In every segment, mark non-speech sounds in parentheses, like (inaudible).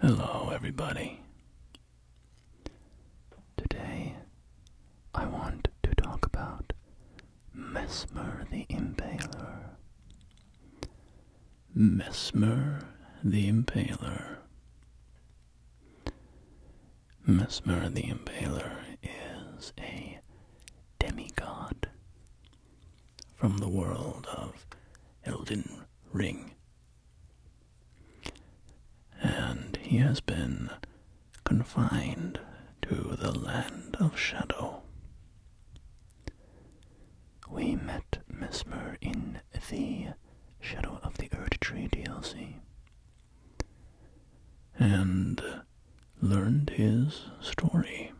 Hello, everybody. Today, I want to talk about Mesmer the Impaler. Mesmer the Impaler. Mesmer the Impaler is a demigod from the world of Elden Ring. And he has been confined to the land of shadow. We met Mesmer in the Shadow of the Earth Tree DLC and learned his story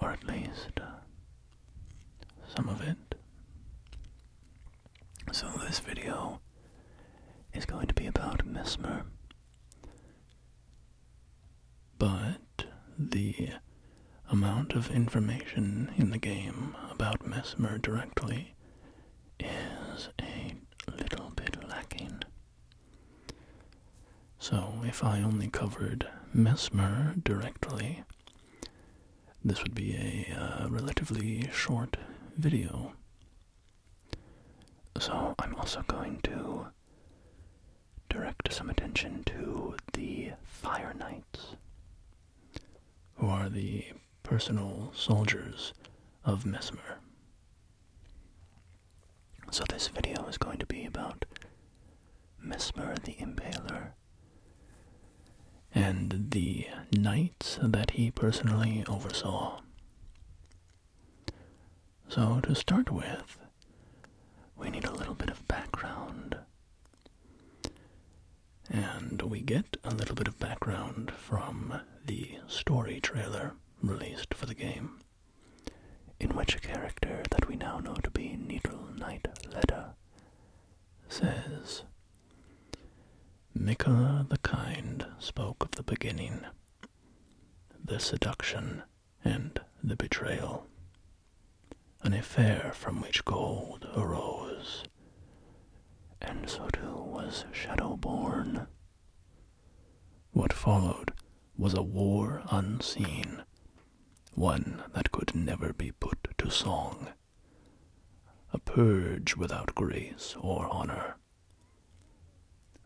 or at least uh, some of it. So this video is going to be about mesmer, but the amount of information in the game about mesmer directly is a little bit lacking. So if I only covered Mesmer directly, this would be a uh, relatively short video. So I'm also going to direct some attention to the Fire Knights, who are the personal soldiers of Mesmer. So this video is going to be about Mesmer the Impaler, and the knights that he personally oversaw. So, to start with, we need a little bit of background. And we get a little bit of background from the story trailer released for the game in which a character that we now know to be Needle Knight Leda says, Mika the Kind spoke of the beginning, the seduction, and the betrayal, an affair from which gold arose, and so too was born What followed was a war unseen one that could never be put to song, a purge without grace or honor.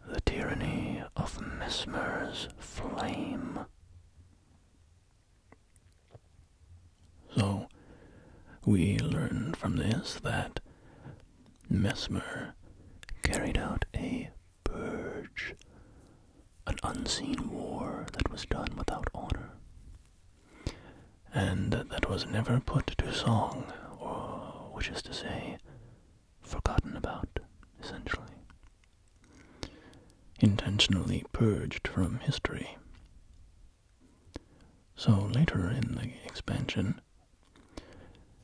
The tyranny of Mesmer's flame. So, we learn from this that Mesmer carried out a purge an unseen war that was done without honor, and that was never put to song, or which is to say, forgotten about, essentially. Intentionally purged from history. So later in the expansion,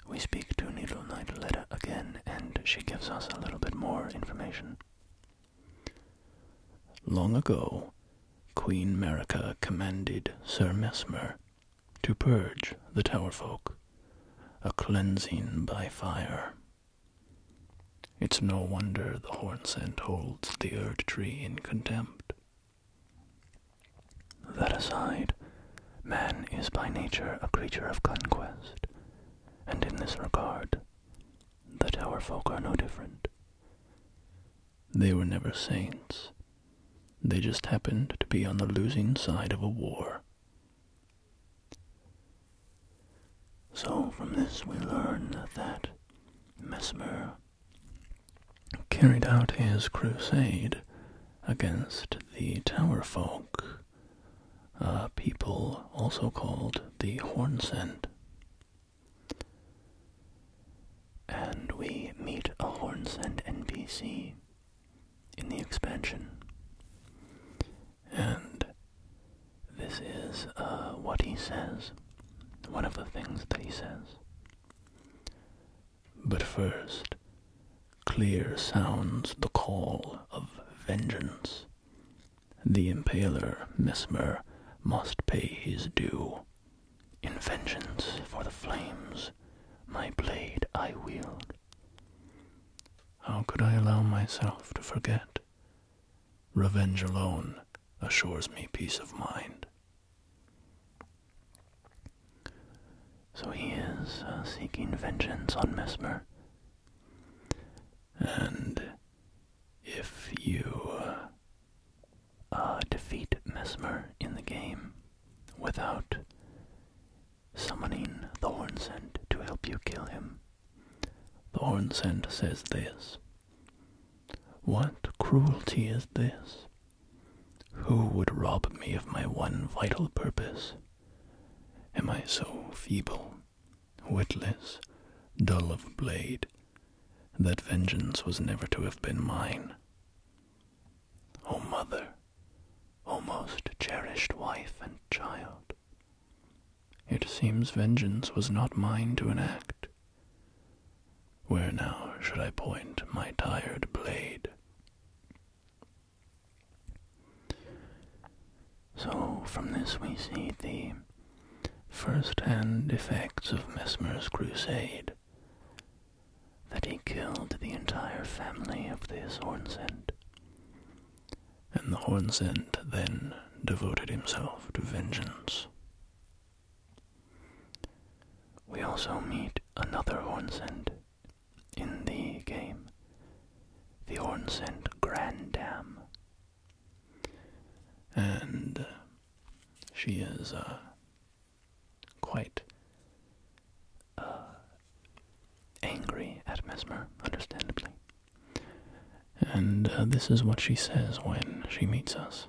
we speak to Needle Knight Letta again, and she gives us a little bit more information. Long ago, Queen Merica commanded Sir Mesmer to purge the Tower folk, a cleansing by fire. It's no wonder the hornscent holds the Erd tree in contempt. That aside, man is by nature a creature of conquest, and in this regard, the tower folk are no different. They were never saints. They just happened to be on the losing side of a war. So from this we learn that Mesmer carried out his crusade against the tower folk uh, people also called the hornsend. And we meet a hornsend NPC in the expansion. And this is uh, what he says, one of the things that he says. But first, clear sounds the call of vengeance the impaler, Mesmer, must pay his due. In vengeance for the flames, my blade I wield. How could I allow myself to forget? Revenge alone assures me peace of mind. So he is uh, seeking vengeance on Mesmer. And if you uh, defeat Mesmer in the game without summoning the Hornsend to help you kill him. The Hornsend says this. What cruelty is this? Who would rob me of my one vital purpose? Am I so feeble witless, dull of blade, that vengeance was never to have been mine. O mother, O most cherished wife and child, it seems vengeance was not mine to enact. Where now should I point my tired blade? So from this we see the first-hand effects of Mesmer's crusade, that he killed the entire family of this Hornsend. And the Hornsend then devoted himself to vengeance. We also meet another Hornsend in the game, the Hornsend Grandam, and uh, she is uh, quite uh, angry at Mesmer, understandably. And this is what she says when she meets us.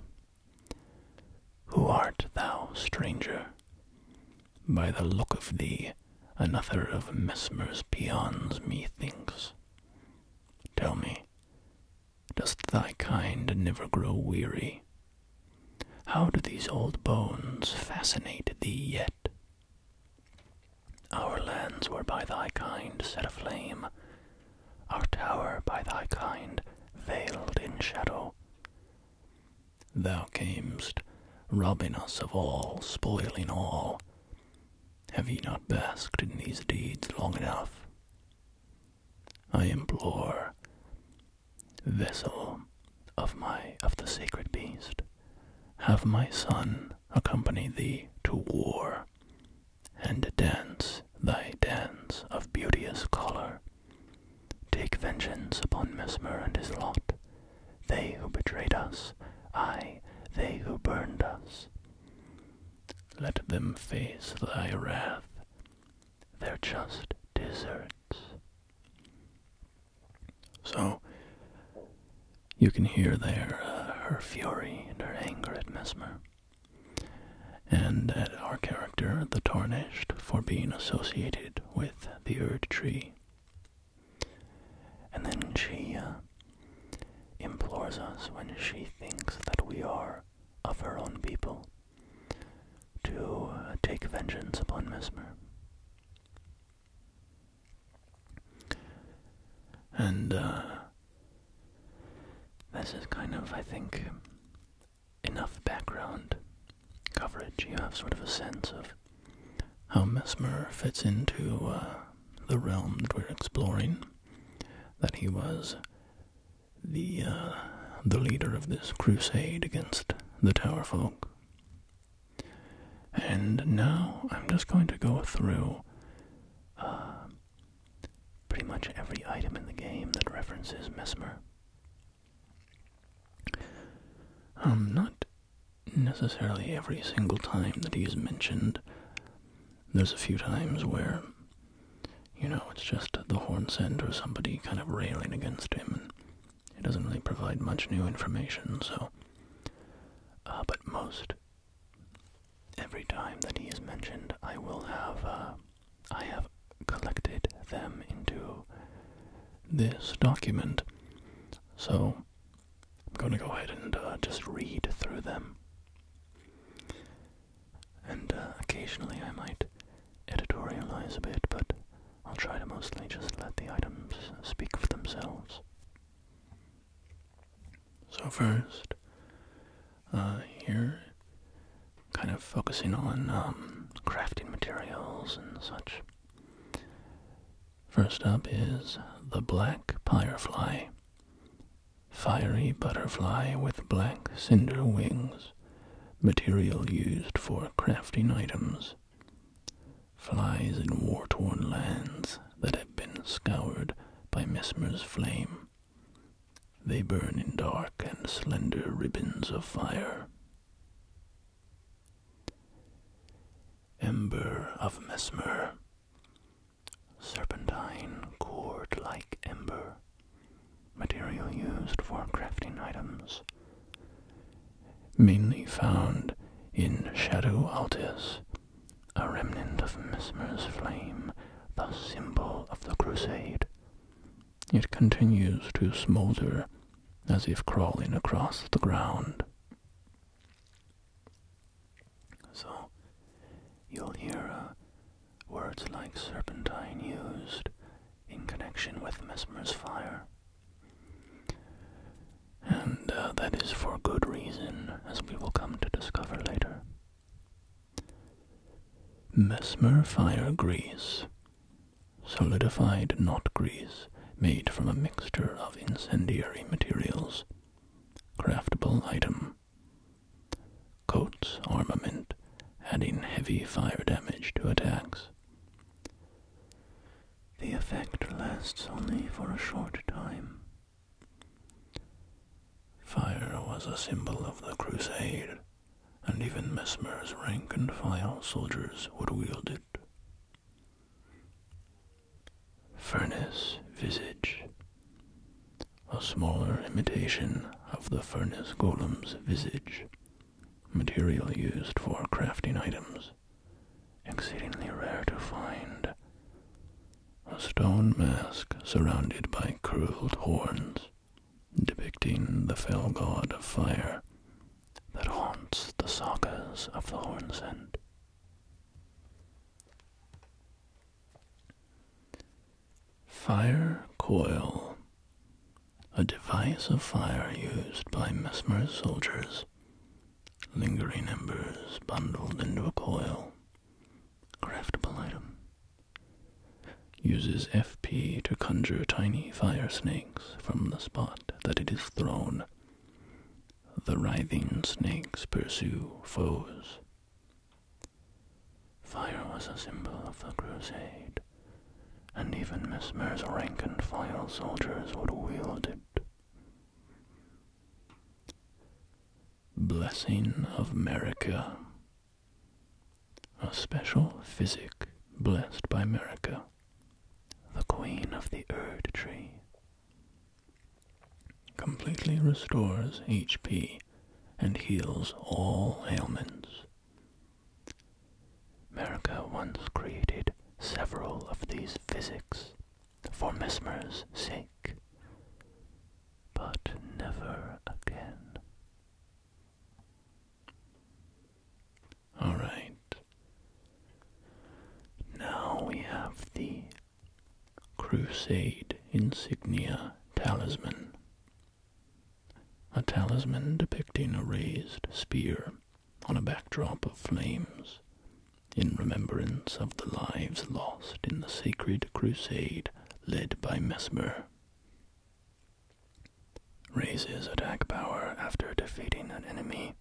Who art thou, stranger? By the look of thee, another of Mesmer's peons, methinks. Tell me, Does thy kind never grow weary? How do these old bones fascinate thee yet? Our lands were by thy kind set aflame, our tower by thy kind veiled in shadow. Thou camest, robbing us of all, spoiling all. Have ye not basked in these deeds long enough? I implore, vessel of my of the sacred beast, have my son accompany thee to war, and dance thy dance of beauteous color. Take vengeance upon Mesmer and his lot, they who betrayed us, aye, they who burned us. Let them face thy wrath, their just deserts. So, you can hear there uh, her fury and her anger at Mesmer, and at our character, the Tarnished, for being associated with the Erd Tree. And then she uh, implores us when she thinks that we are of her own people to take vengeance upon Mesmer. And uh, this is kind of, I think, enough background coverage. You have sort of a sense of how Mesmer fits into uh, the realm that we're exploring that he was the uh, the leader of this crusade against the Tower folk. And now I'm just going to go through uh, pretty much every item in the game that references Mesmer. Um, not necessarily every single time that he's mentioned, there's a few times where, you know, it's just the horn send or somebody kind of railing against him, and it doesn't really provide much new information, so. Uh, but most, every time that he is mentioned, I will have, uh, I have collected them into this document. So I'm going to go ahead and uh, just read through them. And uh, occasionally I might editorialize a bit, but I'll try to mostly just let the items speak for themselves. So, first, uh, here, kind of focusing on um, crafting materials and such. First up is the black pyrefly fiery butterfly with black cinder wings, material used for crafting items. Flies in war torn lands that have been scoured by Mesmer's flame. They burn in dark and slender ribbons of fire. Ember of Mesmer serpentine cord like ember, material used for crafting items, mainly found in Shadow Altis, a remnant of Mesmer's flame, the symbol of the crusade. It continues to smolder as if crawling across the ground. So, you'll hear uh, words like serpentine used in connection with Mesmer's fire. And uh, that is for good reason, as we will come to discover later. Mesmer fire grease. Solidified knot grease made from a mixture of incendiary materials. Craftable item. Coats, armament, adding heavy fire damage to attacks. The effect lasts only for a short time. Fire was a symbol of the crusade, and even Mesmer's rank and file soldiers would wield it furnace visage. A smaller imitation of the furnace golem's visage, material used for crafting items, exceedingly rare to find. A stone mask surrounded by curled horns, depicting the fell god of fire that haunts the sagas of the Hornsend. Fire coil. A device of fire used by Mesmer's soldiers. Lingering embers bundled into a coil. Craftable item. Uses FP to conjure tiny fire snakes from the spot that it is thrown. The writhing snakes pursue foes. Fire was a symbol of the crusade, and even Mesmer's rank and file soldiers would wield it. Blessing of Merica. A special physic blessed by Merica, the queen of the Erd tree completely restores HP and heals all ailments. America once created several of these physics for Mesmer's sake, but never again. Alright. Now we have the Crusade Insignia Talisman. A talisman depicting a raised spear on a backdrop of flames in remembrance of the lives lost in the sacred crusade led by Mesmer. Raises attack power after defeating an enemy.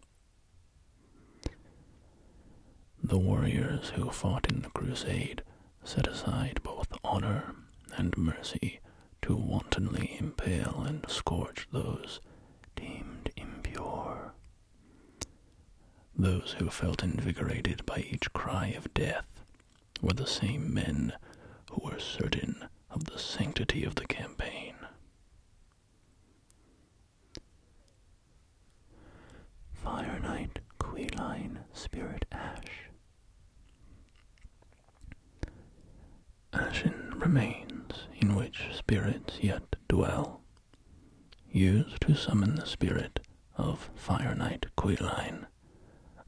The warriors who fought in the crusade set aside both honor and mercy to wantonly impale and scorch those deemed impure. Those who felt invigorated by each cry of death were the same men who were certain of the sanctity of the campaign. Fire Knight, Queeline, Spirit Ash. Ashen remains in which spirits yet dwell, used to summon the spirit of Fire Knight Queeline,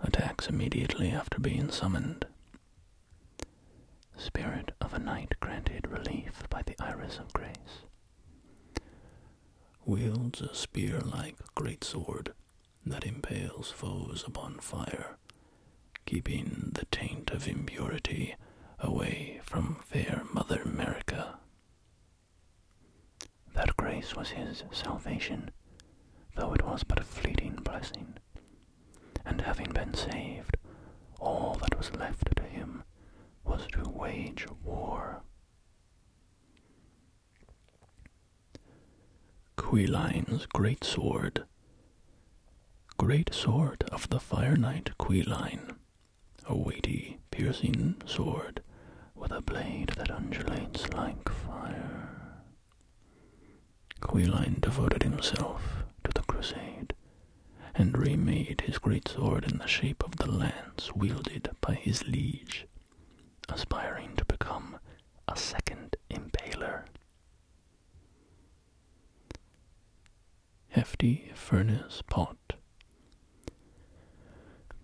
attacks immediately after being summoned. Spirit of a knight granted relief by the Iris of Grace wields a spear like great sword, that impales foes upon fire, keeping the taint of impurity away from fair Mother America. That grace was his salvation, though it was but a fleeting blessing. And having been saved, all that was left to him was to wage war. Queline's great sword. Great sword of the fire knight Queline, a weighty, piercing sword with a blade that undulates like fire. Queline devoted himself to the crusade and remade his great sword in the shape of the lance wielded by his liege aspiring to become a second impaler. Hefty furnace pot.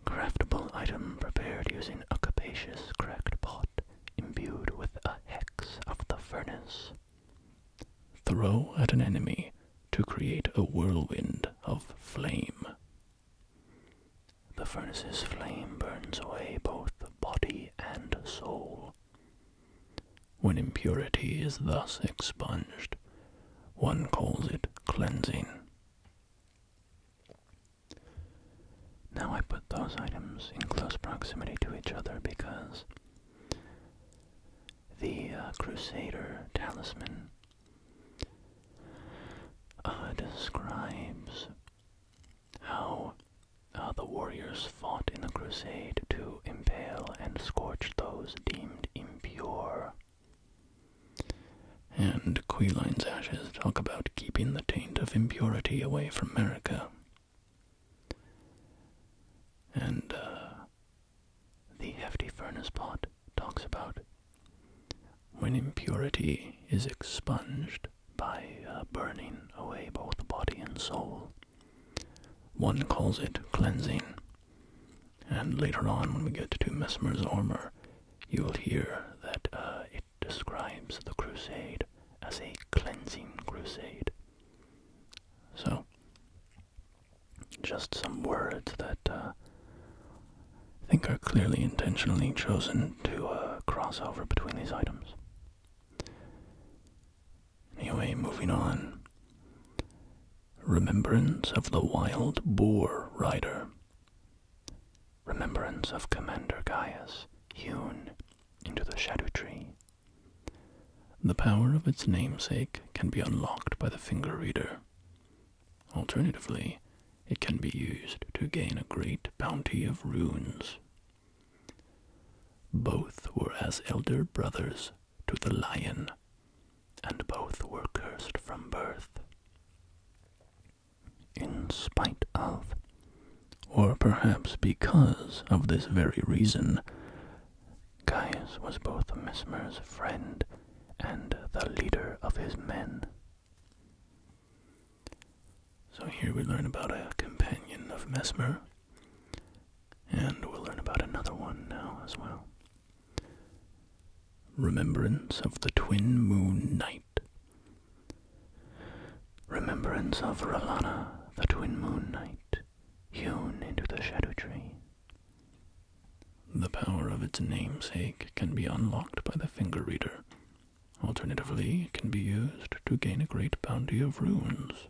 Craftable item prepared using a capacious cracked pot imbued with a hex of the furnace. Throw at an enemy to create a whirlwind of flame. The furnace's flame burns away both the body and soul. When impurity is thus expunged, one calls it cleansing. Now I put those items in close proximity to each other because the uh, Crusader talisman uh, describes how uh, the warriors fought in the crusade to impale and scorch those deemed impure. And Queline's ashes talk about keeping the taint of impurity away from America. And uh, the hefty furnace pot talks about when impurity is expunged by uh, burning away both body and soul. One calls it cleansing. And later on, when we get to Mesmer's Armor, you will hear that uh, it describes the crusade as a cleansing crusade. So, just some words that uh, I think are clearly intentionally chosen to uh, cross over between these items. Anyway, moving on. Remembrance of the Wild Boar Rider. Remembrance of Commander Gaius, hewn into the Shadow Tree. The power of its namesake can be unlocked by the finger reader. Alternatively, it can be used to gain a great bounty of runes. Both were as elder brothers to the lion, and both were cursed from birth. In spite of, or perhaps because of this very reason, Caius was both Mesmer's friend and the leader of his men. So here we learn about a companion of Mesmer, and we'll learn about another one now as well. Remembrance of the Twin Moon Night. Remembrance of Ralana, the Twin Moon Night, hewn into the Shadow Tree. The power of its namesake can be unlocked by the finger reader. Alternatively, it can be used to gain a great bounty of runes.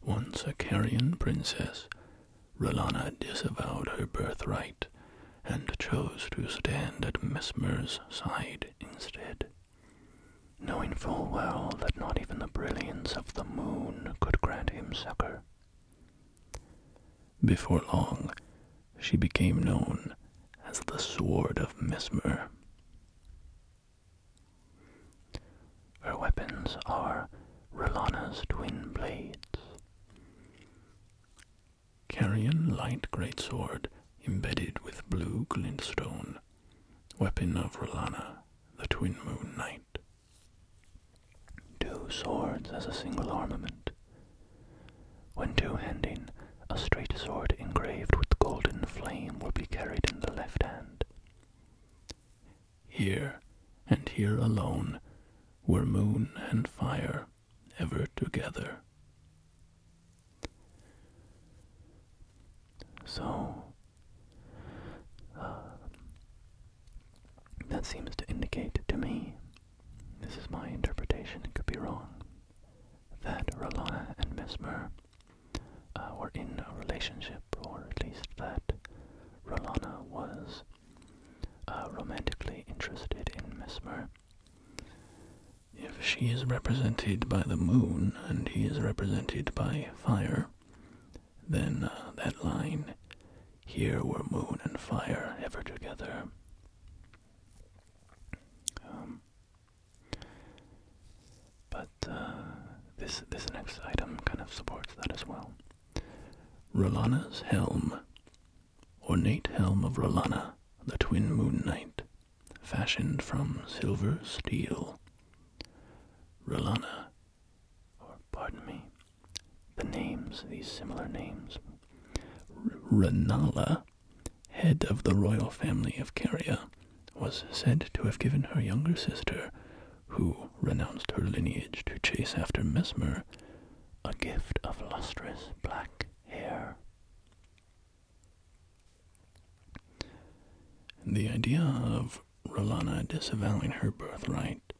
Once a Carian princess, Rolana disavowed her birthright and chose to stand at Mesmer's side instead, knowing full well that not even the brilliance of the moon could grant him succor. Before long, she became known as the Sword of Mesmer. Her weapons are Rolana's twin blades. Carrion light greatsword embedded with blue glintstone, weapon of Rolana, the twin moon knight. Two swords as a single armament. When two-handing, a straight sword engraved with golden flame will be carried in the left hand. Here, and here alone, were moon and fire ever together. So, uh, that seems to indicate to me this is my interpretation, it could be wrong, that Rolana and Mesmer uh, were in a relationship, or at least that Rolana was uh, romantically interested in Mesmer. If she is represented by the moon and he is represented by fire, then uh, that line here were moon and fire ever together. Um, but uh, this this next item kind of supports that as well. Rolana's helm, ornate helm of Rolana, the twin moon knight, fashioned from silver steel. Rolana, or pardon me, the names, these similar names. Ranala, head of the royal family of Caria, was said to have given her younger sister, who renounced her lineage to chase after Mesmer, a gift of lustrous black hair. The idea of Rolana disavowing her birthright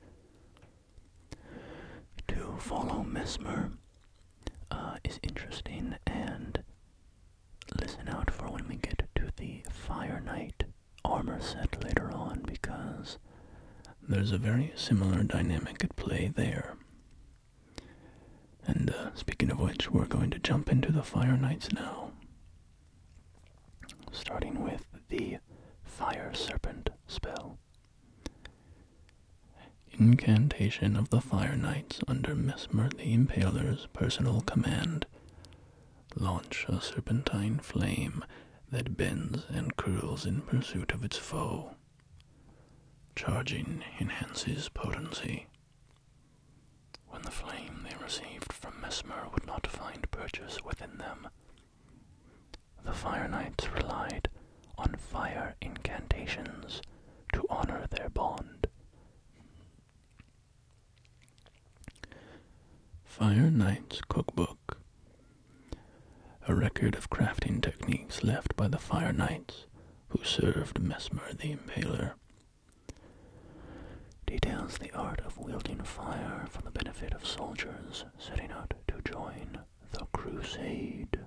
to follow Mesmer uh, is interesting, and listen out for when we get to the Fire Knight armor set later on because there's a very similar dynamic at play there. And uh, speaking of which, we're going to jump into the Fire Knights now. Starting with the Fire Serpent spell. Incantation of the Fire Knights under Mesmer the Impaler's personal command. Launch a serpentine flame that bends and curls in pursuit of its foe. Charging enhances potency. When the flame they received from Mesmer would not find purchase within them, the Fire Knights relied on fire incantations to honor their bond. Fire Knight's Cookbook A record of crafting techniques left by the Fire Knights who served Mesmer the Impaler. Details the art of wielding fire for the benefit of soldiers setting out to join the Crusade.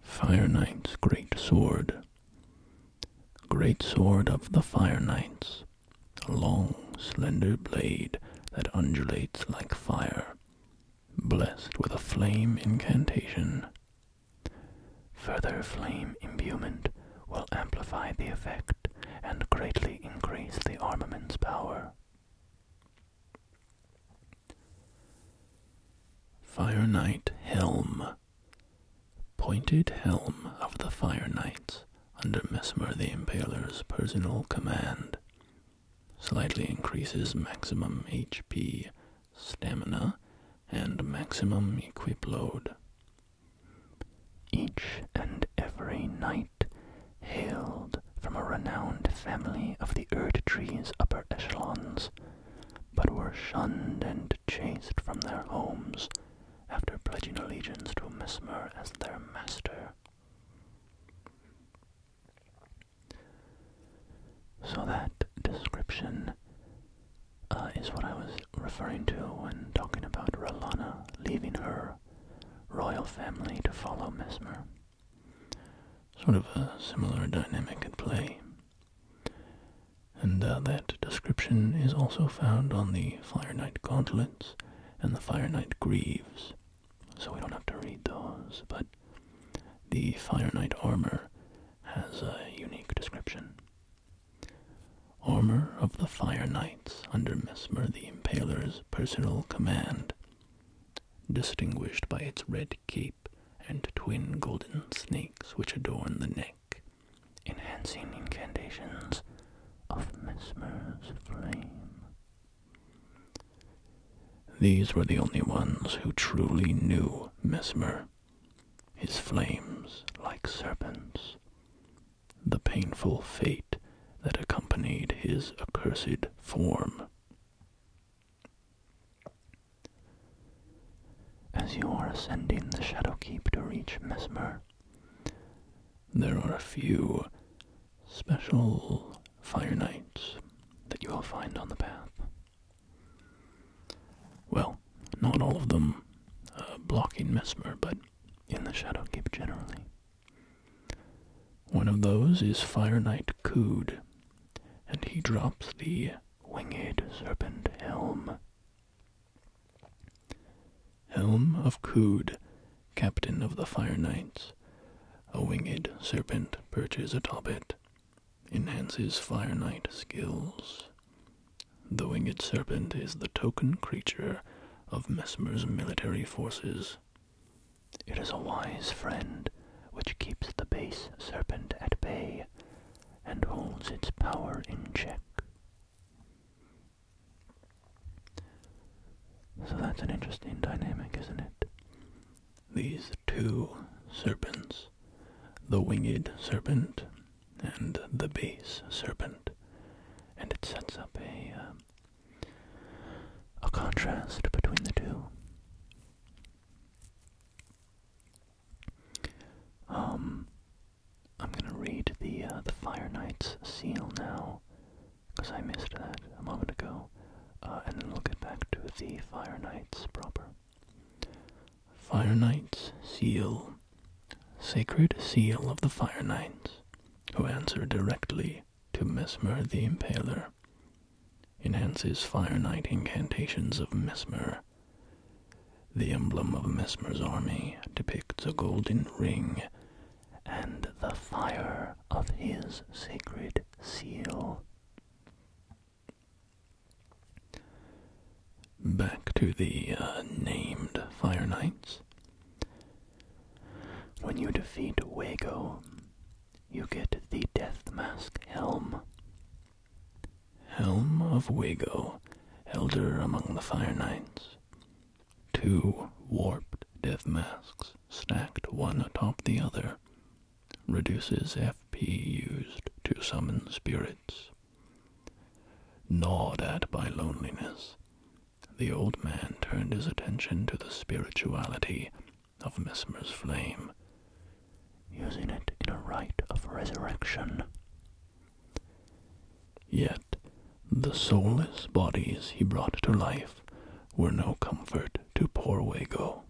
Fire Knight's Great Sword. Great sword of the Fire Knights, a long, slender blade that undulates like fire, blessed with a flame incantation. Further flame imbuement will amplify the effect and greatly increase the armament's power. Fire Knight Helm. Pointed helm of the Fire Knights under Mesmer the Impaler's personal command. Slightly increases maximum HP, stamina, and maximum equip load. Each and every knight hailed from a renowned family of the Erd upper echelons, but were shunned and chased from their homes after pledging allegiance to Mesmer as their master. So that description uh, is what I was referring to when talking about Ralana leaving her royal family to follow Mesmer. Sort of a similar dynamic at play. And uh, that description is also found on the Fire Knight Gauntlets and the Fire Knight Greaves, so we don't have to read those, but the Fire Knight Armor has a unique description. Armor of the Fire Knights under Mesmer the Impaler's personal command distinguished by its red cape and twin golden snakes which adorn the neck, enhancing incantations of Mesmer's flame. These were the only ones who truly knew Mesmer, his flames like serpents, the painful fate that accompanied his accursed form. As you are ascending the Shadow Keep to reach Mesmer, there are a few special fire Knights that you will find on the path. Well, not all of them uh, blocking Mesmer, but in the Shadow Keep generally. One of those is Fire Knight Cood, and he drops the Winged Serpent Helm. Helm of Cood, Captain of the Fire Knights. A winged serpent perches atop it, enhances Fire Knight skills. The winged serpent is the token creature of Mesmer's military forces. It is a wise friend which keeps the base serpent at bay and holds its power in check. So that's an interesting dynamic, isn't it? These two serpents, the winged serpent and the base serpent, and it sets up a, um, a contrast between the two. Um, I'm gonna read the uh, the Fire Knight's seal now, because I missed that a moment ago, uh, and then we'll get back to the Fire Knight's proper. Fire Knight's seal, sacred seal of the Fire Knights, who answer directly to Mesmer the Impaler. Enhances Fire Knight incantations of Mesmer. The emblem of Mesmer's army depicts a golden ring and the fire of his sacred seal. Back to the uh, named Fire Knights. When you defeat Wago, you get the Death Mask Helm. Helm of Wago, Elder among the Fire Knights. Two warped death masks stacked one atop the other. Reduces FP used to summon spirits. Gnawed at by loneliness, the old man turned his attention to the spirituality of Mesmer's flame, using it in a rite of resurrection. Yet the soulless bodies he brought to life were no comfort to poor Wago.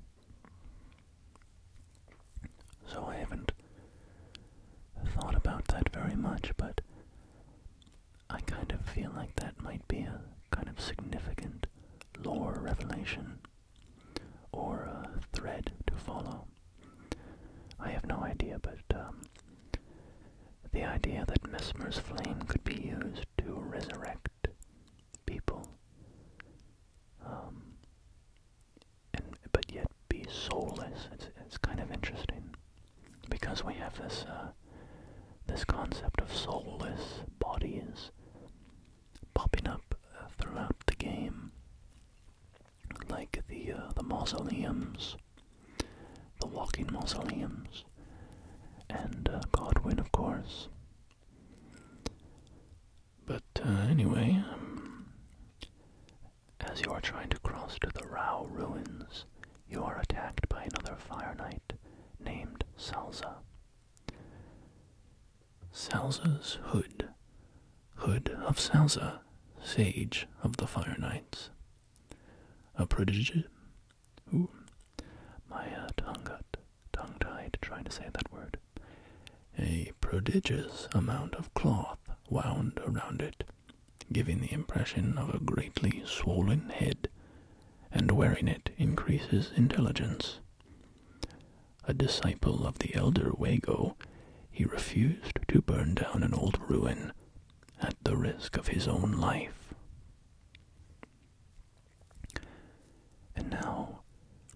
So I haven't thought about that very much, but I kind of feel like that might be a kind of significant lore revelation or a thread to follow. I have no idea, but um, the idea that Mesmer's flame could be used to resurrect people, um, but yet be soulless—it's kind of interesting because we have this uh, this concept of soulless bodies popping up uh, throughout the game, like the uh, the mausoleums, the walking mausoleums, and uh, Godwin, of course. But anyway, um, as you are trying to cross to the Rao ruins, you are attacked by another Fire Knight named Salza. Salza's Hood, Hood of Salza, Sage of the Fire Knights. A prodigy. Ooh, my uh, tongue got tongue tied trying to say that word. A prodigious amount of cloth wound around it, giving the impression of a greatly swollen head and wearing it increases intelligence. A disciple of the elder Wago, he refused to burn down an old ruin at the risk of his own life. And now,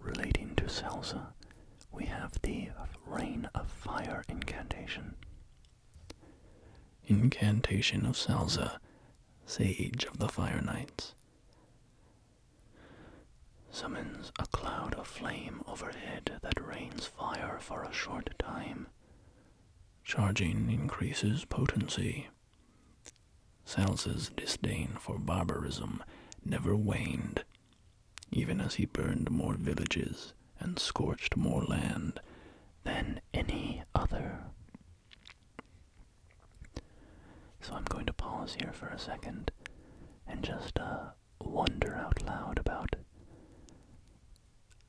relating to Salza, we have the Rain of Fire incantation. Incantation of Salza sage of the Fire Knights, summons a cloud of flame overhead that rains fire for a short time. Charging increases potency. Salsa's disdain for barbarism never waned, even as he burned more villages and scorched more land than any other so I'm going to pause here for a second and just uh, wonder out loud about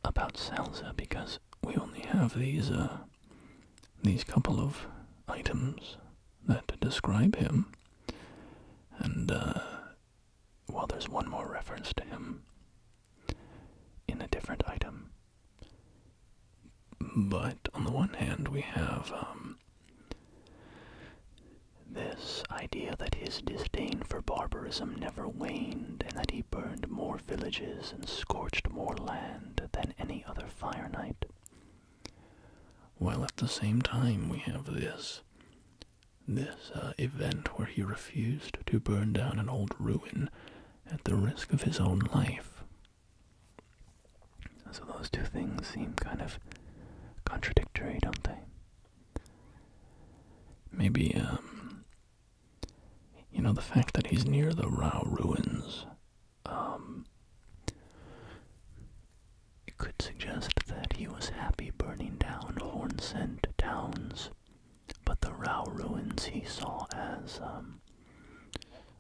about Salza because we only have these uh, these couple of items that describe him, and uh, well, there's one more reference to him in a different item. But on the one hand, we have um, this idea that his disdain for barbarism never waned, and that he burned more villages and scorched more land than any other fire knight. While at the same time, we have this this uh, event where he refused to burn down an old ruin at the risk of his own life so those two things seem kind of contradictory, don't they? Maybe, um, you know, the fact that he's near the Rao ruins, um, could suggest that he was happy burning down Horn Scent towns, but the Rao ruins he saw as, um,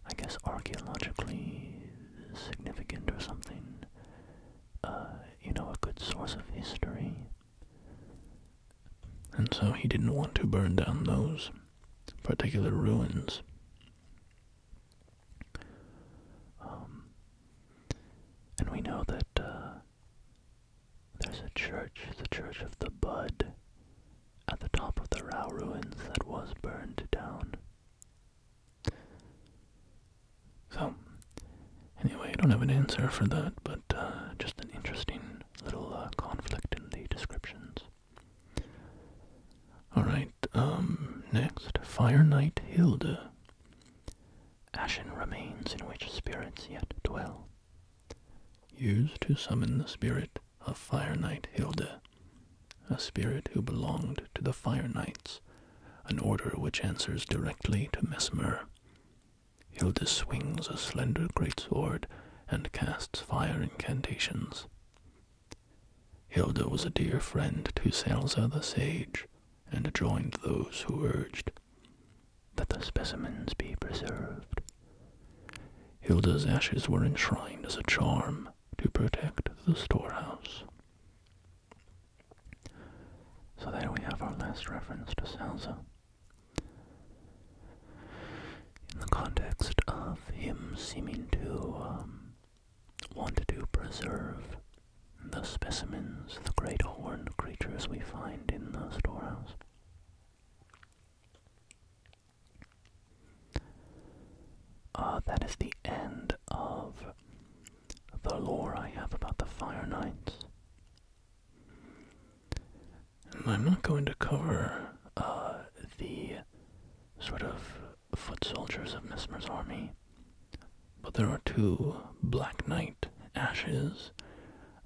I guess archaeologically significant or something. Uh, you know, a good source of history. And so he didn't want to burn down those particular ruins. Um, and we know that uh, there's a church, the Church of the Bud, at the top of the Rao ruins that was burned down. So, anyway, I don't have an answer for that, but uh, just an interesting little uh, conflict in the descriptions. Alright, um, next, Fire Knight Hilde. Ashen remains in which spirits yet dwell. Used to summon the spirit of Fire Knight Hilde a spirit who belonged to the Fire Knights, an order which answers directly to Mesmer. Hilda swings a slender greatsword and casts fire incantations. Hilda was a dear friend to Salza the Sage, and joined those who urged that the specimens be preserved Hilda's ashes were enshrined as a charm to protect the storehouse. So there we have our last reference to Salza. In the context of him seeming to um, want to preserve the specimens, the great horned creatures we find in the storehouse. Uh, that is the end of the lore I have about the Fire Knights. I'm not going to cover uh, the sort of foot soldiers of Mesmer's army, but there are two Black Knight ashes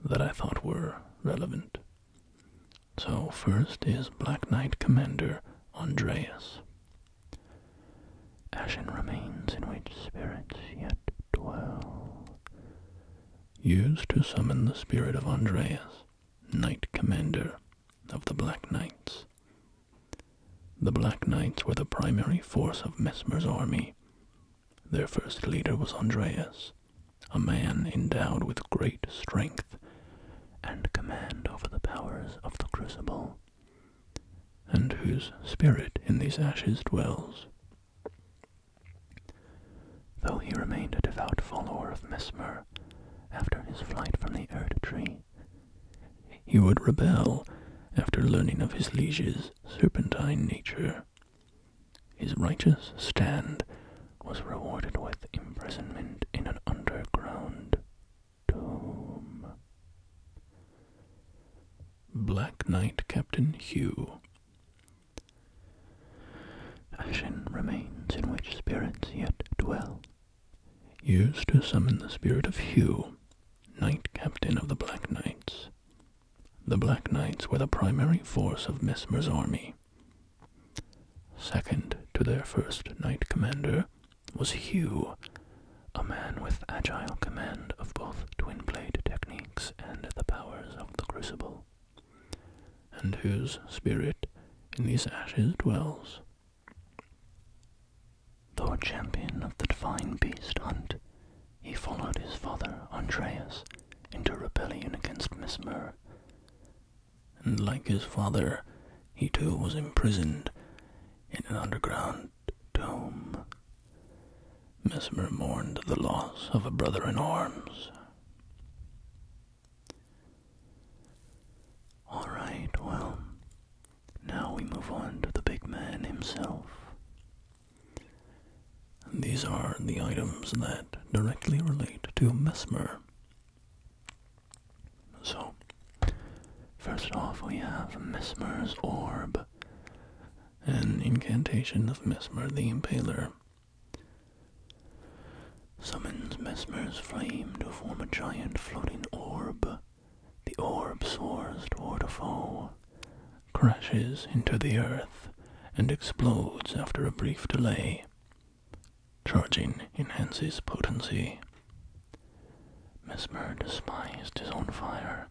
that I thought were relevant. So, first is Black Knight Commander Andreas. Ashen remains in which spirits yet dwell. Used to summon the spirit of Andreas, Knight Commander of the Black Knights. The Black Knights were the primary force of Mesmer's army. Their first leader was Andreas, a man endowed with great strength and command over the powers of the crucible, and whose spirit in these ashes dwells. Though he remained a devout follower of Mesmer after his flight from the Erd tree, he would rebel after learning of his liege's serpentine nature. His righteous stand was rewarded with imprisonment in an underground tomb. Black Knight Captain Hugh. Ashen remains in which spirits yet dwell. Used to summon the spirit of Hugh, Knight Captain of the Black Knights. The Black Knights were the primary force of Mesmer's army. Second to their first knight commander was Hugh, a man with agile command of both twin blade techniques and the powers of the crucible, and whose spirit in these ashes dwells. Though a champion of the divine beast hunt, he followed his father Andreas into rebellion against Mesmer, and like his father, he too was imprisoned in an underground tomb. Mesmer mourned the loss of a brother in arms. All right, well, now we move on to the big man himself. these are the items that directly relate to Mesmer. So, first off, we have Mesmer's Orb, an incantation of Mesmer the Impaler. Summons Mesmer's flame to form a giant floating orb. The orb soars toward a foe, crashes into the earth, and explodes after a brief delay. Charging enhances potency. Mesmer despised his own fire.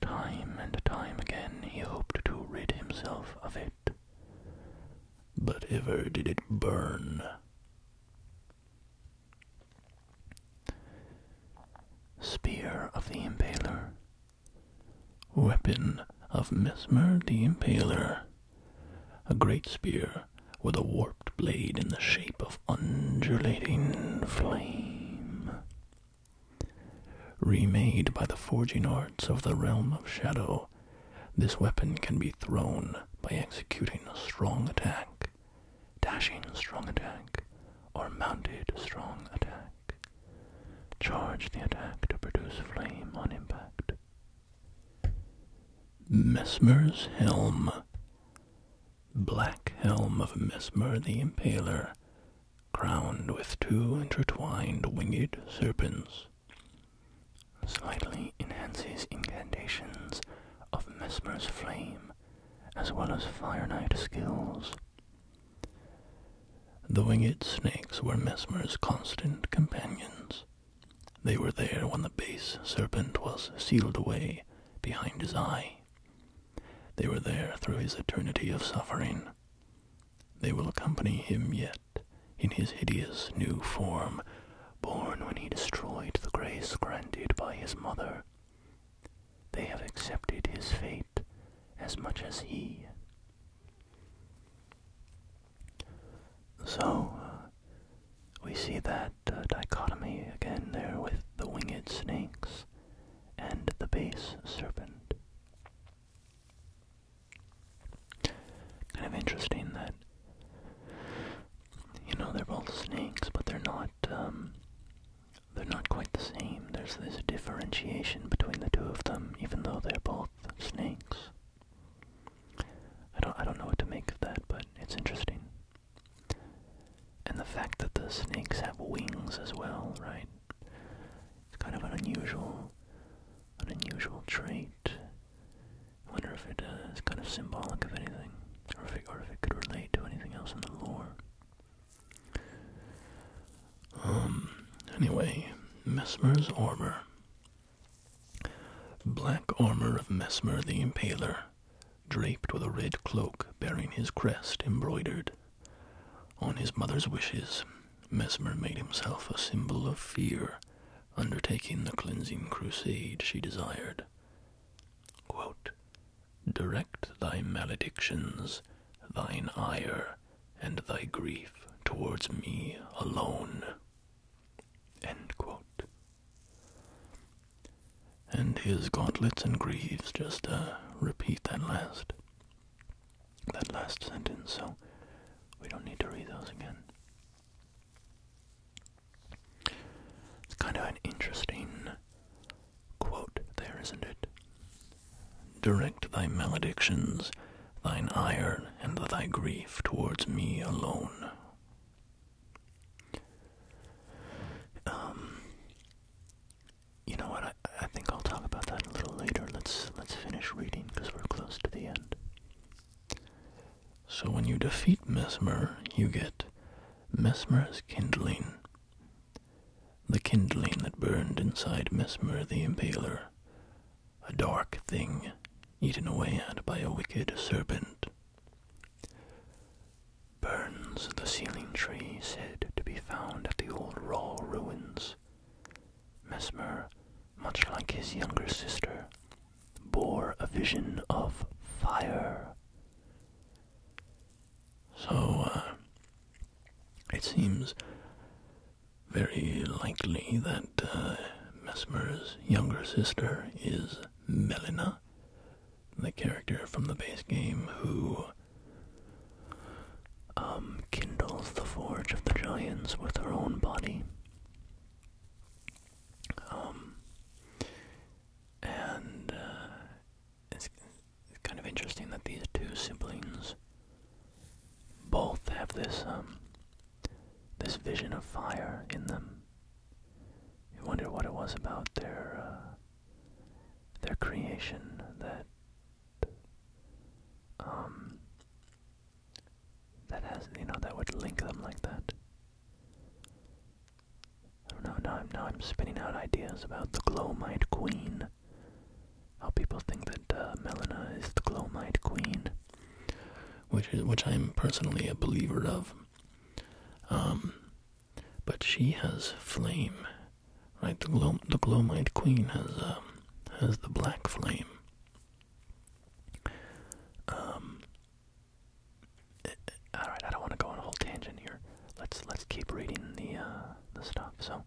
Time and time again he hoped to rid himself of it. But ever did it burn. Spear of the Impaler. Weapon of Mesmer the Impaler. A great spear with a warped blade in the shape of undulating flame. Remade by the forging arts of the realm of shadow, this weapon can be thrown by executing a strong attack, dashing strong attack, or mounted strong attack. Charge the attack to produce flame on impact. Mesmer's Helm. Black helm of Mesmer the Impaler, crowned with two intertwined winged serpents. Slightly enhances incantations of Mesmer's flame, as well as Fire Knight skills. The winged snakes were Mesmer's constant companions, they were there when the base serpent was sealed away behind his eye. They were there through his eternity of suffering. They will accompany him yet in his hideous new form, born when he destroyed the grace granted by his mother. They have accepted his fate as much as he. So, uh, we see that uh, dichotomy again there with the winged snakes and the base serpent. Kind of interesting that, you know, they're both snakes, but they're not, um, they're not quite the same. There's this differentiation between the two of them, even though they're both snakes. I don't I don't know what to make of that, but it's interesting. And the fact that the snakes have wings as well, right? It's kind of an unusual an unusual trait. I wonder if it uh, is kind of symbolic of anything, or if, it, could relate to anything else in the lore. Um, anyway, Mesmer's armor. Black armor of Mesmer the Impaler, draped with a red cloak bearing his crest embroidered. On his mother's wishes, Mesmer made himself a symbol of fear, undertaking the cleansing crusade she desired. Direct thy maledictions, thine ire, and thy grief towards me alone. And his gauntlets and greaves, just uh, repeat that last, that last sentence, so we don't need to read those again. It's kind of an interesting quote there, isn't it? Direct thy maledictions, thine ire, and thy grief towards me alone. Um, you know what? I, I think I'll talk about that a little later. Let's let's finish reading because we're close to the end. So when you defeat Mesmer, you get Mesmer's kindling. The kindling that burned inside Mesmer the Impaler, a dark thing eaten away at by a wicked serpent. Burns, the ceiling tree, said to be found at the old Raw ruins. Mesmer, much like his younger sister, bore a vision of fire. So, uh, it seems very likely that uh, Mesmer's younger sister is Melina, the character from the base game who um, kindles the forge of the giants with her own body. Um, and uh, it's, kind of interesting that these two siblings both have this um, this vision of fire in them. You wonder what it was about their uh, their creation that um that has you know that would link them like that. I don't know. Now I'm now I'm spinning out ideas about the Glowmite Queen. How people think that uh, Melina is the Glowmite Queen, which is which I'm personally a believer of. Um, but she has flame, right? The glow, the glowmite queen has um, has the black flame. Um, eh, all right, I don't want to go on a whole tangent here. Let's let's keep reading the uh, the stuff. So,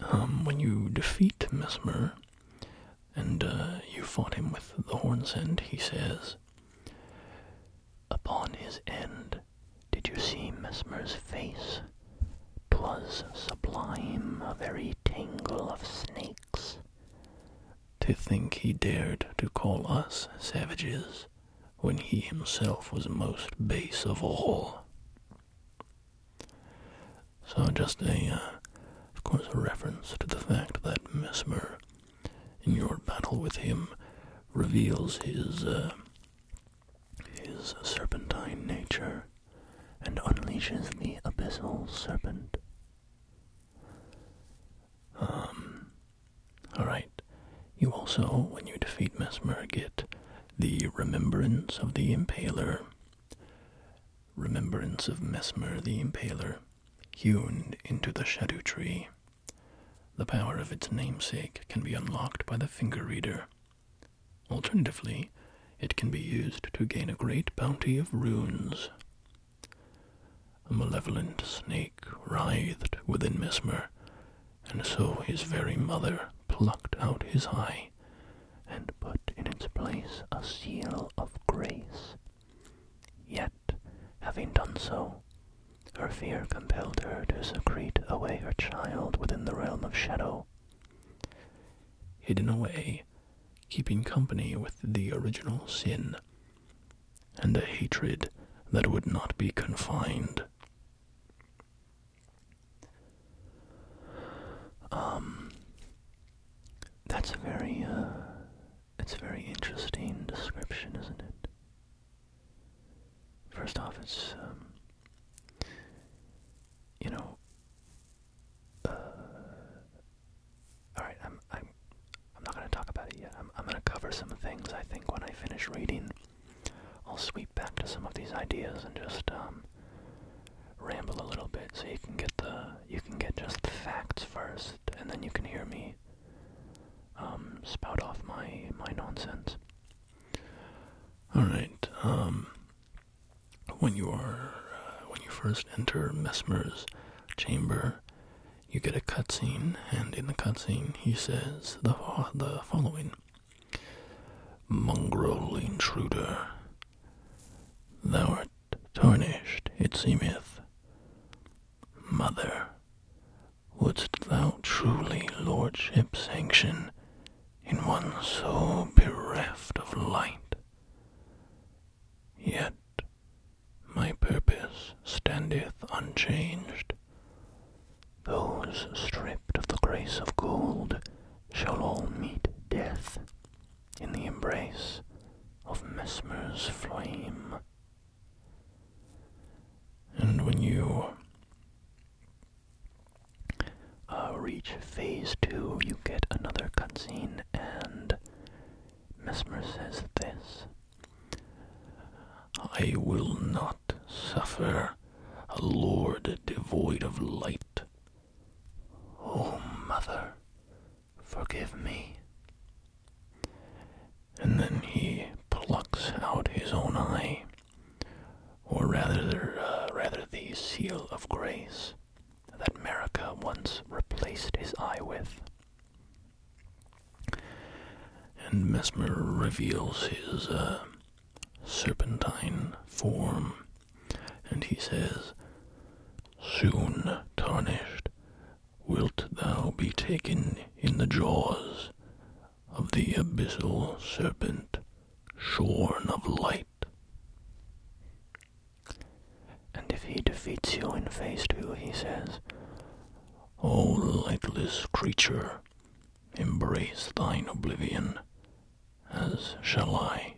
um, when you defeat Mesmer, and uh, you fought him with the horn's end, he says, Upon his end did you see Mesmer's face? 'Twas sublime, a very tangle of snakes. To think he dared to call us savages, when he himself was most base of all. So just a uh, of course, a reference to the fact that Mesmer, in your battle with him, reveals his, uh, his serpentine nature and unleashes the abyssal serpent. Um, alright. You also, when you defeat Mesmer, get the remembrance of the impaler. Remembrance of Mesmer the Impaler hewn into the shadow tree. The power of its namesake can be unlocked by the finger reader. Alternatively, it can be used to gain a great bounty of runes. A malevolent snake writhed within Mesmer, and so his very mother plucked out his eye and put in its place a seal of grace Yet, having done so, her fear compelled her to secrete away her child within the realm of shadow. Hidden away, keeping company with the original sin, and a hatred that would not be confined. Um, that's a very uh, it's a very interesting description, isn't it? First off, it's, um, you know, uh, all right, I'm, I'm, I'm not going to talk about it yet. I'm, I'm going to cover some things, I think, when I finish reading. I'll sweep back to some of these ideas and just, um, ramble a little bit so you can get the, you can get just the facts first and then you can hear me um, spout off my my nonsense. All right. Um, when you are uh, when you first enter Mesmer's chamber, you get a cutscene, and in the cutscene he says the the following: "Mongrel intruder, thou art tarnished, it seemeth. Mother, wouldst thou truly lordship sanction in one so bereft of light? Yet my purpose standeth unchanged. Those stripped of the grace of gold shall all meet death in the embrace of Mesmer's flame. And when you uh, reach phase two, you get another cutscene, and Mesmer says this I will not suffer a lord devoid of light. oh, mother, Forgive me. And then he plucks out his own eye, or rather, uh, rather the seal of grace that Merica once replaced his eye with. And Mesmer reveals his uh, serpentine form, and he says, Soon tarnished wilt thou be taken in the jaws of the abyssal serpent, shorn of light. And if he defeats you in face two, he says, O lightless creature, embrace thine oblivion, as shall I.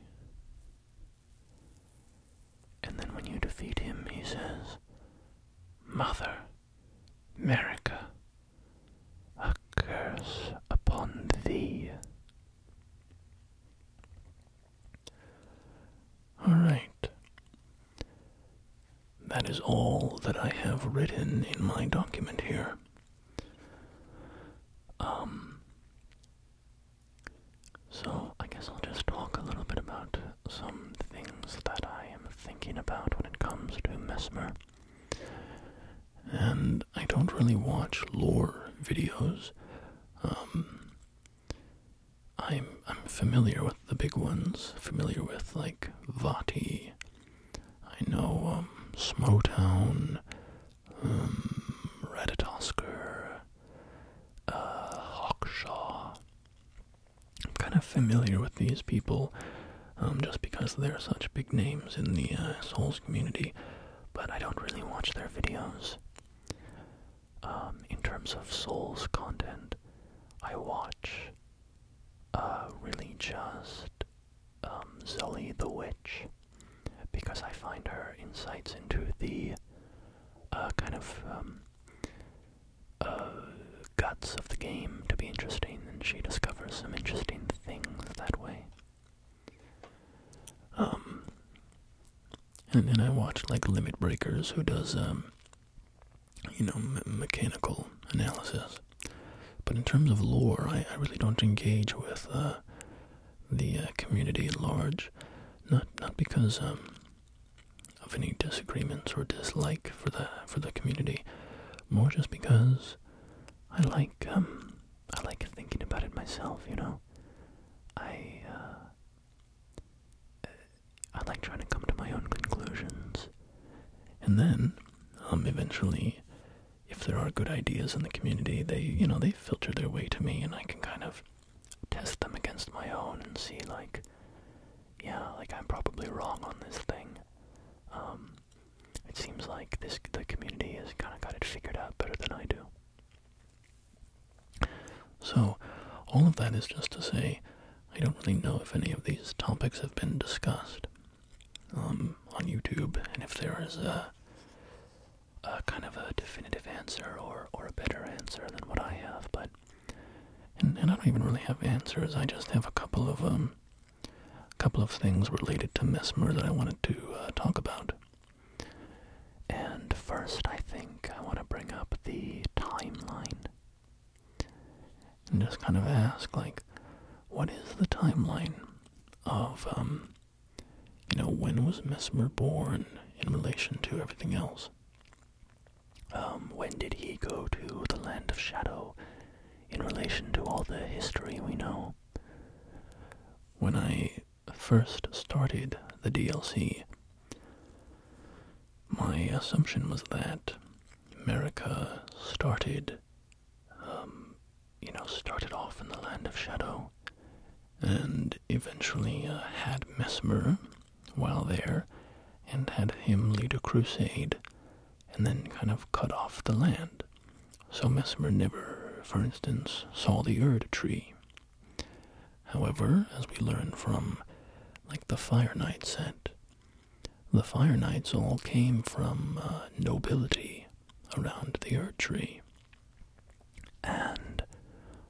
And then when you defeat him, he says, Mother, America, a curse upon thee. Alright. That is all that I have written in my document here. Um, so, I guess I'll just talk a little bit about some things that I am thinking about when it comes to Mesmer. And I don't really watch lore videos. Um, I'm familiar with the big ones, familiar with like Vati. I know um, Reddit Oscar. Um, Reditosker, uh, Hawkshaw. I'm kind of familiar with these people um, just because they're such big names in the uh, Souls community, but I don't really watch their videos. Um, in terms of Souls content, I watch uh, really just um, the Witch because I find her insights into the uh, kind of um, uh, guts of the game to be interesting, and she discovers some interesting things that way. Um, and then I watch like Limit Breakers, who does um, you know, mechanical analysis. But in terms of lore, I, really don't engage with uh, the uh, community at large. Not not because um, of any disagreements or dislike for the for the community, more just because I like um, I like thinking about it myself. You know, I uh, I like trying to come to my own conclusions, and then um, eventually. If there are good ideas in the community, they you know they filter their way to me, and I can kind of test them against my own and see like yeah like i'm probably wrong on this thing um it seems like this the community has kind of got it figured out better than i do so all of that is just to say i don't really know if any of these topics have been discussed um on youtube and if there is a a kind of a definitive answer or or a better answer than what I have, but and, I don't even really have answers. I just have a couple of um, couple of things related to Mesmer that I wanted to uh, talk about. And first, I think I want to bring up the timeline and just kind of ask, like, what is the timeline of, um, you know, when was Mesmer born in relation to everything else? Um, when did he go to the Land of Shadow in relation to all the history we know? When I first started the DLC, my assumption was that America started, um, you know, started off in the Land of Shadow and eventually uh, had Mesmer while there and had him lead a crusade and then kind of cut off the land. So Mesmer never, for instance, saw the Erd tree. However, as we learn from, like the Fire Knight said, the Fire Knights all came from uh, nobility around the Erd tree and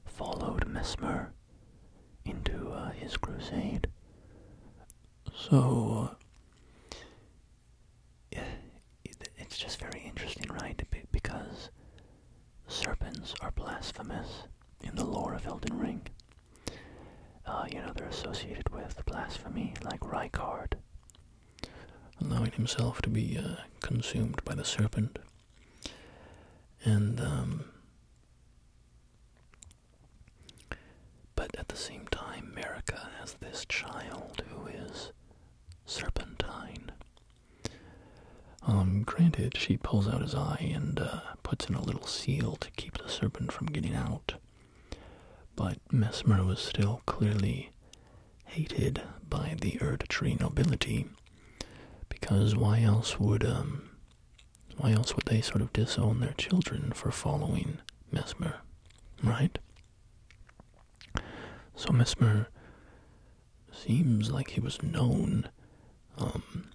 followed Mesmer into uh, his crusade. So, uh, it's just very interesting, right? Because serpents are blasphemous in the lore of Elden Ring. Uh, you know, they're associated with blasphemy, like Rykard, allowing himself to be consumed by the serpent. And um, but at the same time, America has this child who is serpentine. Um, granted, she pulls out his eye and uh, puts in a little seal to keep the serpent from getting out. But Mesmer was still clearly hated by the Erd Tree nobility, because why else would um, why else would they sort of disown their children for following Mesmer, right? So Mesmer seems like he was known, um,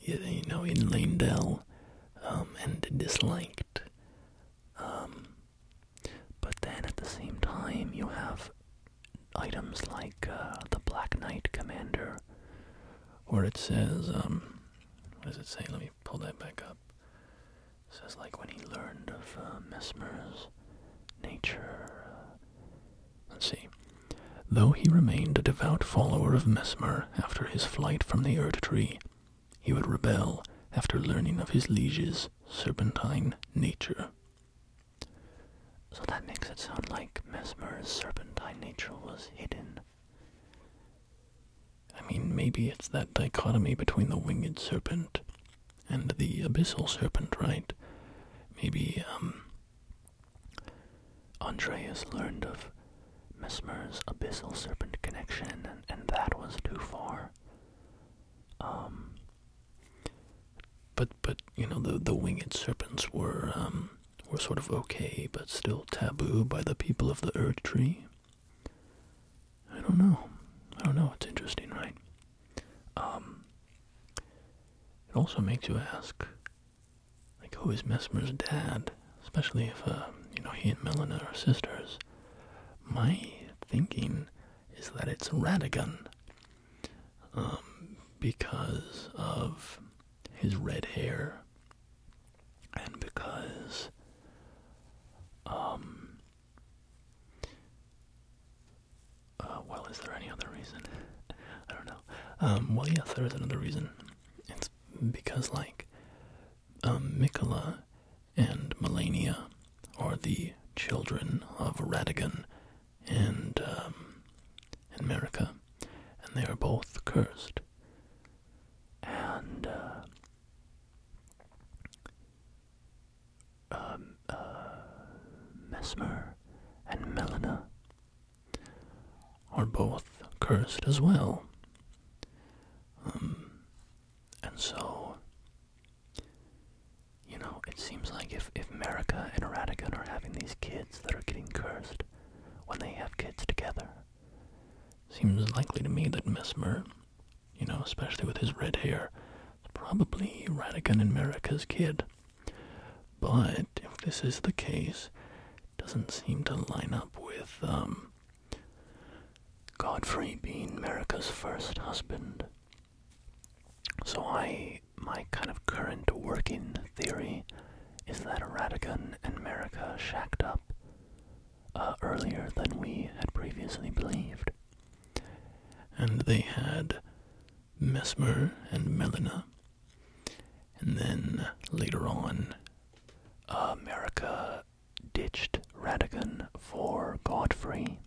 you know, in Lanedale, um, and disliked. Um, but then at the same time, you have items like uh, the Black Knight Commander, where it says, um, what does it say? Let me pull that back up. It says, like, when he learned of uh, Mesmer's nature. Uh, let's see. Though he remained a devout follower of Mesmer after his flight from the Erd Tree, he would rebel after learning of his liege's serpentine nature. So that makes it sound like Mesmer's serpentine nature was hidden. I mean, maybe it's that dichotomy between the winged serpent and the abyssal serpent, right? Maybe, um, Andreas learned of Mesmer's abyssal serpent connection, and, and that was too far. Um, but, but, you know, the, the winged serpents were, um, were sort of okay but still taboo by the people of the Erd Tree? I don't know. I don't know. It's interesting, right? Um, it also makes you ask, like, who is Mesmer's dad? Especially if, uh, you know, he and Melina are sisters. My thinking is that it's Radigan. Um, because of his red hair, and because um uh, well, is there any other reason? (laughs) I don't know. Um, well, yes, there is another reason. It's because, like, um, and Melania are the children of Radigan and, um, and Merica and they are both cursed. And uh, um, uh, Mesmer and Melina are both cursed as well. Um, and so, you know, it seems like if, if Merica and Radigan are having these kids that are getting cursed, when they have kids together. Seems likely to me that Mesmer, you know, especially with his red hair, is probably Radigan and Merica's kid. But if this is the case, doesn't seem to line up with um, Godfrey being Merica's first husband. So I my kind of current working theory is that Radigan and America shacked up uh, earlier than we had previously believed. And they had Mesmer and Melina. And then later on, America uh, ditched Radigan for Godfrey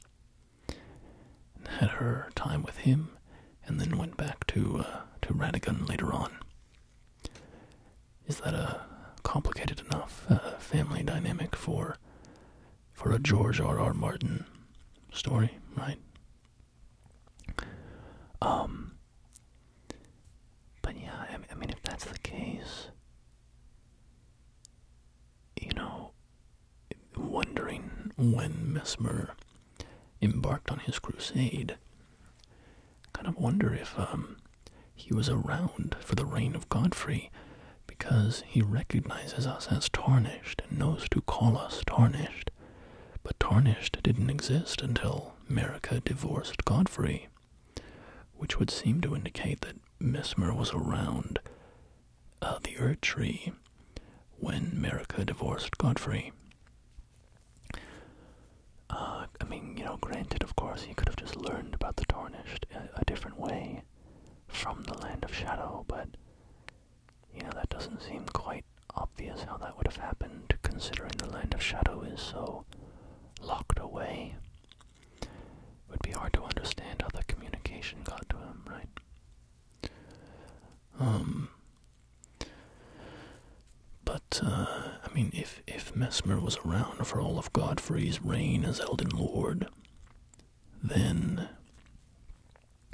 and had her time with him, and then went back to uh, to Radigan later on. Is that a complicated enough uh, family dynamic for for a George R. R. Martin story, right? Um, but yeah, I, I mean, if that's the case, you know, wondering when Mesmer embarked on his crusade. Kind of wonder if um, he was around for the reign of Godfrey, because he recognizes us as tarnished and knows to call us tarnished. But tarnished didn't exist until Merica divorced Godfrey, which would seem to indicate that Mesmer was around uh, the Ur Tree when Merica divorced Godfrey. Uh, I mean, you know, granted, of course, he could have just learned about the Tarnished a, a different way from the Land of Shadow, but, you know, that doesn't seem quite obvious how that would have happened, considering the Land of Shadow is so locked away. It would be hard to understand how the communication got to him, right? Um, but, uh, I mean, if, if Mesmer was around for all of Godfrey's reign as Elden Lord, then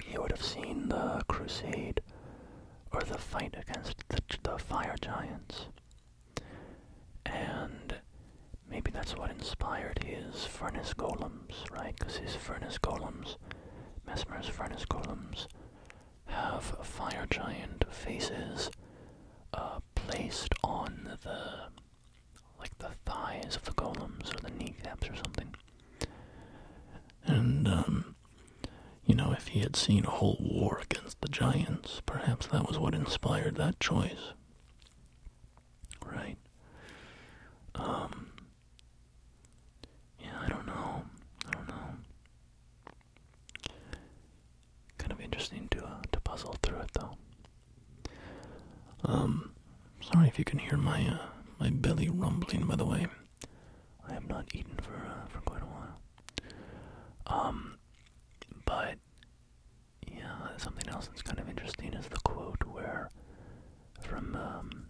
he would have seen the crusade or the fight against the, the fire giants. And maybe that's what inspired his furnace golems, right? Because his furnace golems, Mesmer's furnace golems, have fire giant faces uh, placed on the like the thighs of the golems or the kneecaps or something. And um, you know, if he had seen a whole war against the giants, perhaps that was what inspired that choice. Right. Um, yeah, I don't know. I don't know. Kind of interesting to uh, to puzzle through it though. Um, sorry if you can hear my uh, my belly rumbling. By the way, I have not eaten for uh, for quite a while. Um, but yeah, something else that's kind of interesting is the quote where from um,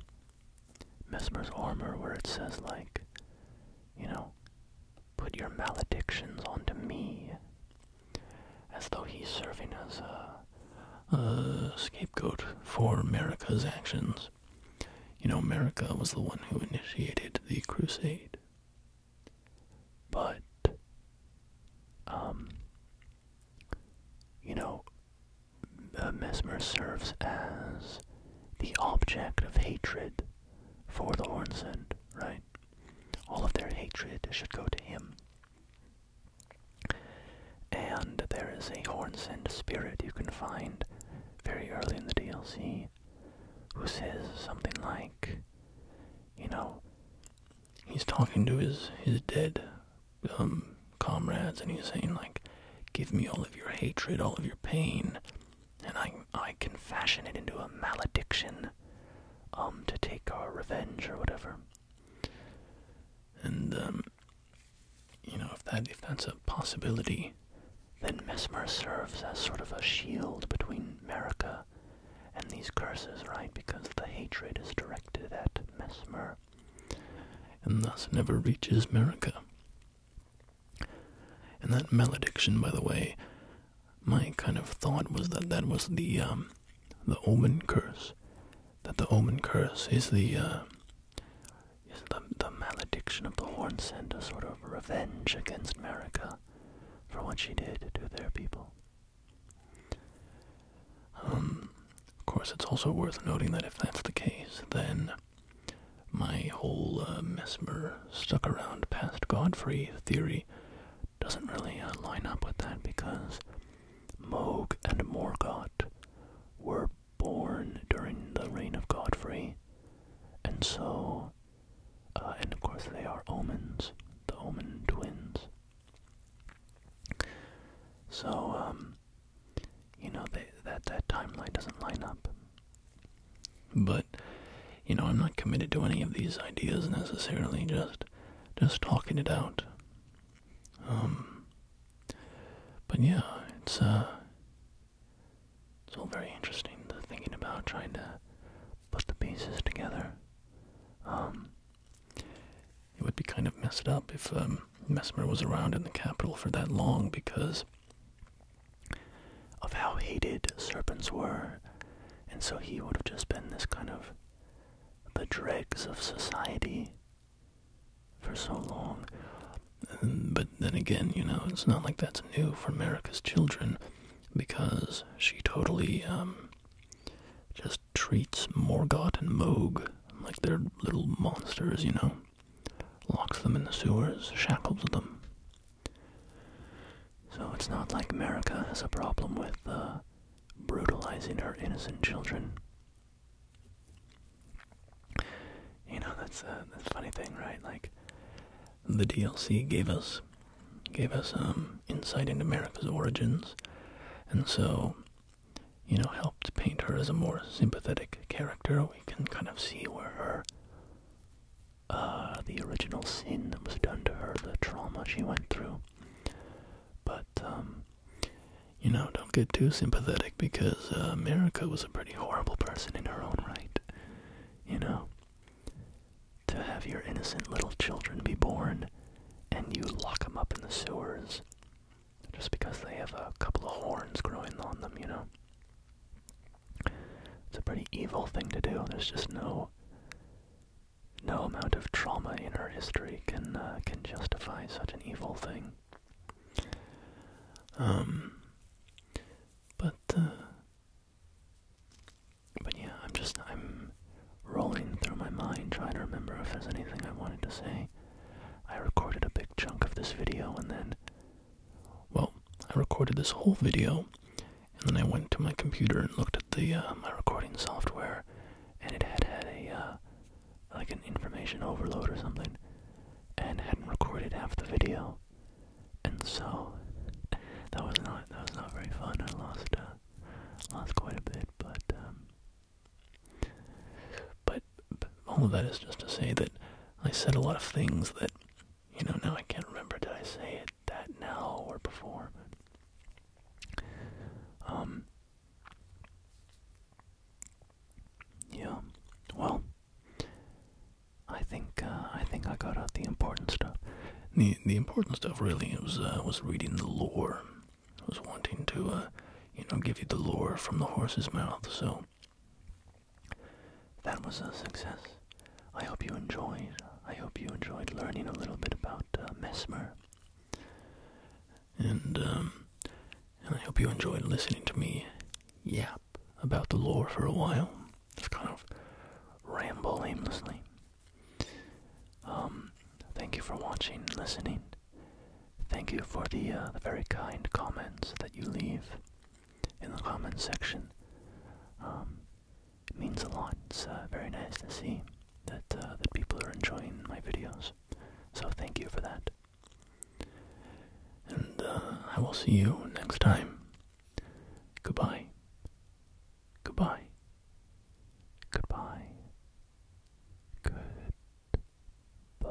Mesmer's armor where it says, like, you know, put your maledictions onto me. As though he's serving as a, scapegoat for America's actions. You know, America was the one who initiated the crusade. But, um, you know, uh, Mesmer serves as the object of hatred for the horn's sin, right? All of their hatred should go to him. And there is a horn's end spirit you can find very early in the DLC who says something like, you know, he's talking to his, his dead um, comrades and he's saying, like, give me all of your hatred, all of your pain, and I I can fashion it into a malediction, um, to take our revenge or whatever. And um, you know, if that if that's a possibility, then Mesmer serves as sort of a shield between Merica and these curses, right? Because the hatred is directed at Mesmer, and thus never reaches Merica. And that malediction, by the way, my kind of thought was that that was the um, the omen curse. That the omen curse is the uh, is the the malediction of the horn and a sort of revenge against America for what she did to their people. Um, of course, it's also worth noting that if that's the case, then my whole uh, mesmer stuck around past Godfrey theory doesn't really uh, line up with that because Moog and Morgoth were born during the reign of Godfrey, and so, uh, and of course, they are omens, the omen twins. So, um, you know, that that timeline doesn't line up. But you know, I'm not committed to any of these ideas necessarily, just just talking it out. Um but yeah, it's uh it's all very interesting to thinking about trying to put the pieces together. Um it would be kind of messed up if um Mesmer was around in the capital for that long because of how hated serpents were, and so he would have just been this kind of the dregs of society for so long. But then again, you know, it's not like that's new for America's children because she totally um, just treats Morgoth and Moog like they're little monsters, you know. Locks them in the sewers, shackles them, so it's not like America has a problem with uh, brutalizing her innocent children. You know that's uh, that's a funny thing, right? Like the DLC gave us gave us um, insight into America's origins, and so you know helped paint her as a more sympathetic character. We can kind of see where her uh, the original sin that was done to her, the trauma she went through. But, um, you know, don't get too sympathetic because uh, America was a pretty horrible person in her own right. You know, to have your innocent little children be born and you lock them up in the sewers just because they have a couple of horns growing on them, you know. It's a pretty evil thing to do. There's just no no amount of trauma in our history can uh, can justify such an evil thing. Um, but uh, but yeah, I'm just I'm rolling through my mind trying to remember if there's anything I wanted to say. I recorded a big chunk of this video and then well, I recorded this whole video, and then I went to my computer and looked at the uh, my recording software, and it had had a uh, like an information overload or something, and hadn't recorded half the video, and so (laughs) that was not that was not very fun. I lost uh, lost quite a bit, um, but, but all of that is just to say that I said a lot of things that you know, now I can't remember. Did I say it that now or before? um. Yeah. Well, I think uh, I think I got out the important stuff. The the important stuff really was uh, was reading the lore. I was wanting to uh, you know give you the lore from the horse's mouth. So that was a success. I hope you enjoyed. I hope you enjoyed learning a little bit about uh, Mesmer. Um, and, I hope you enjoyed listening to me yap about the lore for a while. Just kind of ramble aimlessly. Um, thank you for watching, listening. Thank you for the, uh, the very kind comments that you leave in the comments section. Um, means a lot. It's uh, very nice to see that uh, that people are enjoying my videos. So thank you for that. And uh, I will see you next time. Goodbye. Goodbye. Goodbye. Goodbye.